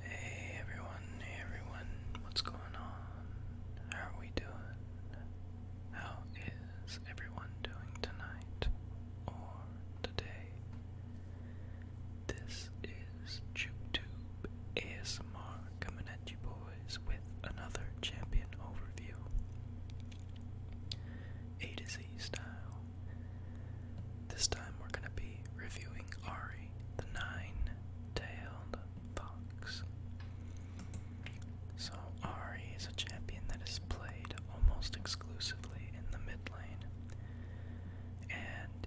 Hey everyone, hey everyone, what's going on? How are we doing? How is everyone doing tonight or today? This is JukeTube ASMR coming at you boys with another champion overview. A to Z style. This time we're going to be reviewing Ari, the nine tailed fox. So, Ari is a champion that is played almost exclusively in the mid lane and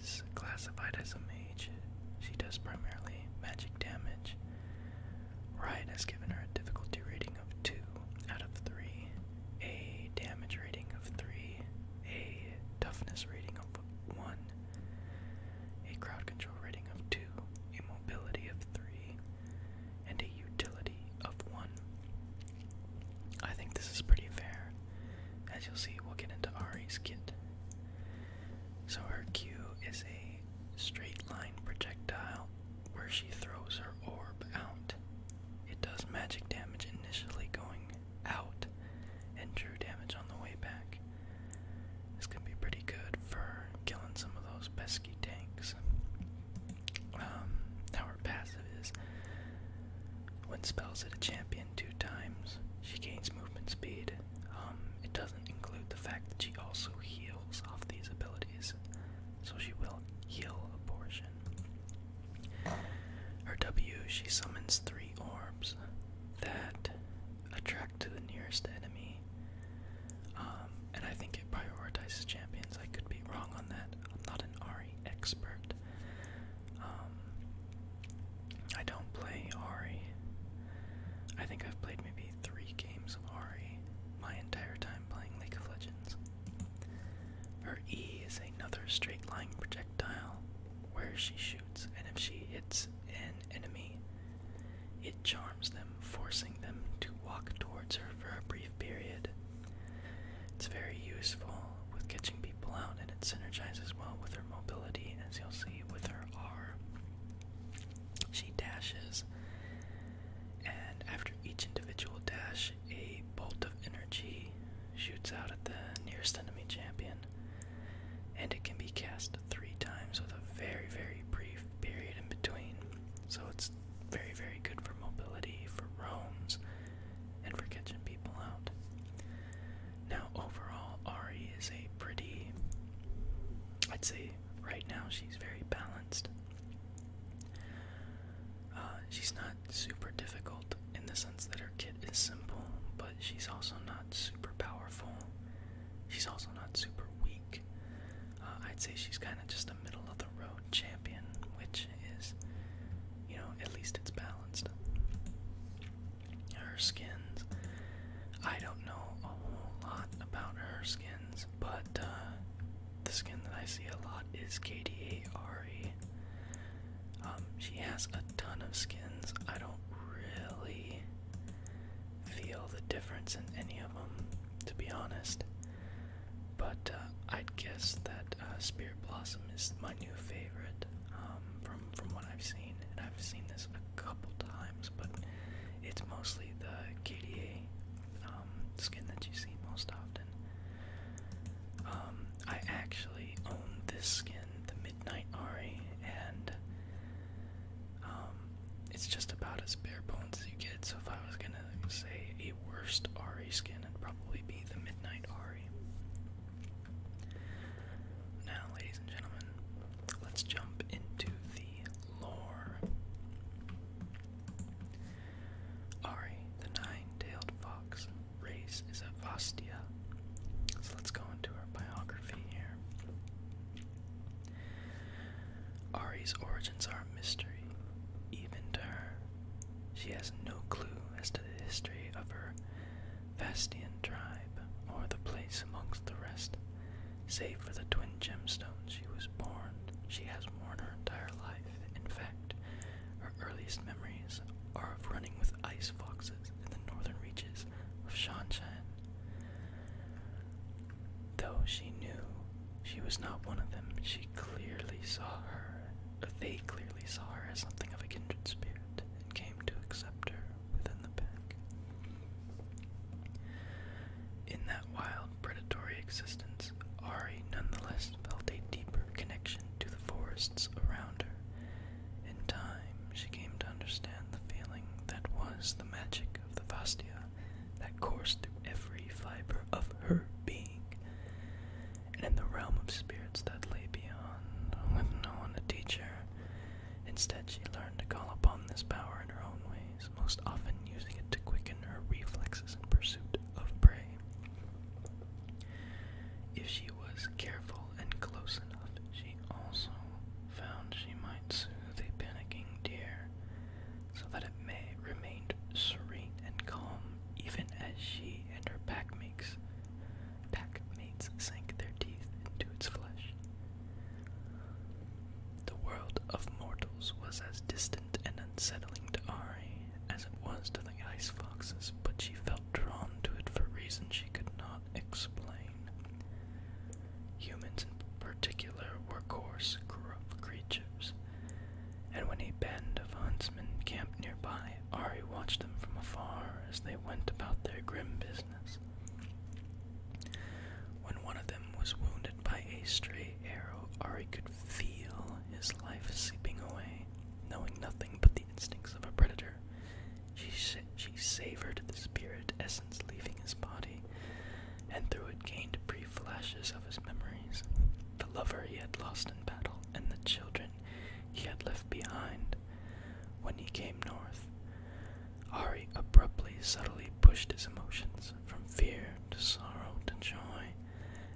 is classified as a mage. She does primarily magic damage. Riot has given her a difficulty rating of 2 out of 3, a damage rating of 3, a toughness rating of 1, a crowd control rating of 2, a mobility of 3, and a utility of 1. I think this is pretty fair. As you'll see, we'll get into Ari's kit. So her Q is a straight line projectile where she throws her orb out. It does magic damage initially going out and drew damage on the way back. This can be pretty good for killing some of those pesky tanks. Um, our passive is when spells hit a champion two times, she gains movement speed. Um, it doesn't include the fact that she also heals off these abilities, so she will heal a portion. Her W, she summons three orbs that attract to the nearest enemy. Um, and I think it prioritizes champions. I could be wrong on that. I'm not an Ari expert. Um, I don't play Ari. I think I've played maybe three games of Ari my entire time playing League of Legends. Her E is another straight line projectile where she shoots, and if she hits an enemy, it charms them, forcing them to walk towards her for a brief period. It's very useful with catching people out, and it synergizes well with her mobility, as you'll see with her R. She dashes, and after each individual dash, a bolt of energy shoots out at the nearest enemy champion, and it can be cast three times with a very, very brief period in between. So it's very, very good for mobility, for roams, and for catching people out. Now, overall, Ari is a pretty. I'd say right now she's very balanced. Uh, she's not super difficult in the sense that her kit is simple, but she's also not super powerful. She's also not super weak. Uh, I'd say she's kind of just a middle of the road champion, which is, you know, at least it's balanced. Her skins. I don't know a whole lot about her skins, but uh, the skin that I see a lot is KDA um, she has a ton of skins. I don't really feel the difference in any of them, to be honest. But uh, I'd guess that uh, Spirit Blossom is my new favorite um, from from what I've seen, and I've seen this a couple times. But it's mostly the KDA um, skin that you see most often. Um, I actually own this skin, the Midnight Ari, and um, it's just about as bare bones as you get. So if I was gonna say a worst Ari skin, it'd probably be the Midnight Ari. Now, ladies and gentlemen, let's jump into the lore. Ari, the nine-tailed fox, race is a Vastia. So let's go into her biography here. Ari's origins are a mystery, even to her. She has no clue as to the history of her Vastian tribe or the place amongst the rest, save for the twin gemstones she was born. She has worn her entire life. In fact, her earliest memories are of running with ice foxes in the northern reaches of Shanshan. Though she knew she was not one of them, she clearly saw her, they clearly saw her as something of a kindred spirit and came to accept her within the pack. In that wild, predatory existence, Ari nonetheless felt a deeper connection to the forests around her in time, she came to understand the feeling that was the magic of the Vastia that coursed through every fiber of her being. And in the realm of spirits that lay beyond, with no one to teach her, instead she learned to call upon this power in her own ways, most often using it to quicken her reflexes in pursuit of prey. If she was careful and close enough. She also found she might soothe a panicking deer so that it may remained serene and calm even as she and her packmates packmates sank their teeth into its flesh. The world of mortals was as distant and unsettling to Ari as it was to the resembling ice foxes, but she felt drawn to it for reasons she could not explain. Humans, in particular, were coarse, rough creatures, and when a band of huntsmen camped nearby, Ari watched them from afar as they went about their grim business. When one of them was wounded by a stray arrow, Ari could feel his life seeping away, knowing nothing but the instincts of a predator she, she savored the spirit essence leaving his body, and through it gained brief flashes of his memories the lover he had lost in battle, and the children he had left behind. When he came north, Ari abruptly, subtly pushed his emotions from fear to sorrow to joy,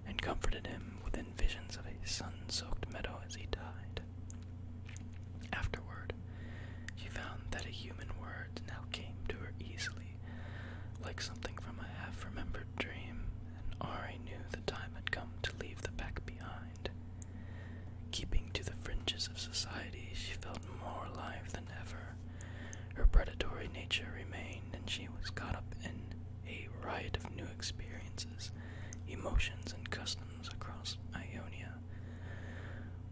and comforted him within visions of a sun soaked meadow as he died. Afterward, she found that a human word now came to her easily, like something from a half remembered dream, and Ari knew the time had come to leave the pack behind. Keeping to the fringes of society, she felt more alive than ever. Her predatory nature remained, and she was caught up in a riot of new experiences, emotions, and customs across Ionia.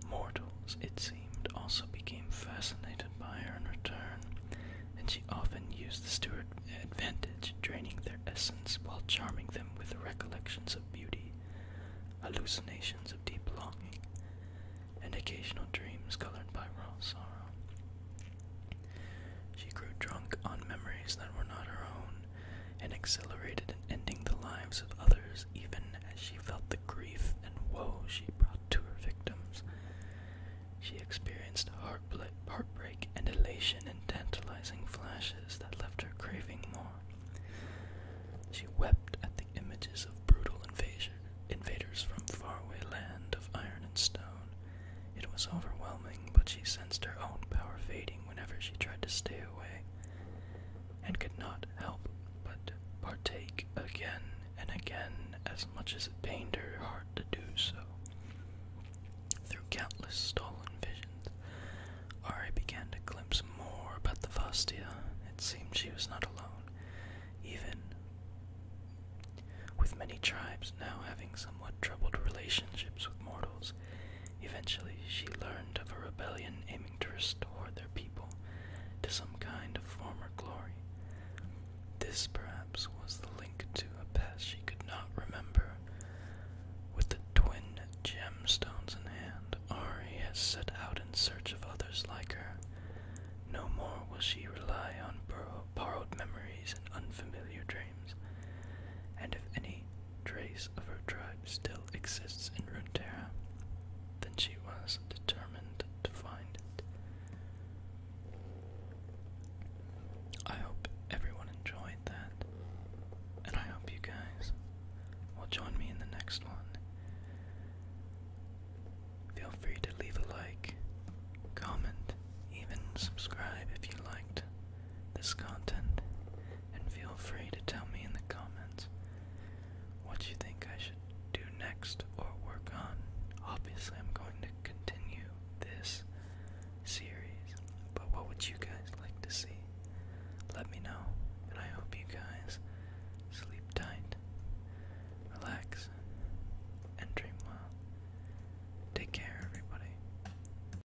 Mortals, it seemed, also became fascinated by her in return, and she often used this to her advantage, draining their essence while charming them with recollections of beauty, hallucinations of deep longing, and occasional dreams colored by raw sorrow. She grew drunk on memories that were not her own, and accelerated in ending the lives of others, even as she felt the grief and woe she brought to her victims. She experienced heartbreak and elation in tantalizing flashes that left her craving more. She wept at the images of brutal invasion, invaders from faraway land of iron and stone. It was overwhelming, but she sensed her own power fading whenever she tried to stay away, and could not help but partake again and again as much as it pained her heart to do so. Through countless stolen visions, Ari began to glimpse more about the Vastia. It seemed she was not alone, even with many tribes now having somewhat troubled relationships with mortals. Eventually, she learned of a rebellion aiming to restore their people to some kind of former glory. This, perhaps, was the link to a past she could not remember. With the twin gemstones in hand, Ari has set out in search of others like her. No more will she rely on borrowed memories and unfamiliar dreams and if any trace of her tribe still exists in Runeterra, then she was determined to find it. I hope everyone enjoyed that, and I hope you guys will join me in the next one. Feel free to leave a like, comment, even subscribe if you liked this content, and feel free to tell me in the comments what you think I should do next or work on. Obviously, I'm going to continue this series, but what would you guys like to see? Let me know, and I hope you guys sleep tight, relax, and dream well. Take care, everybody.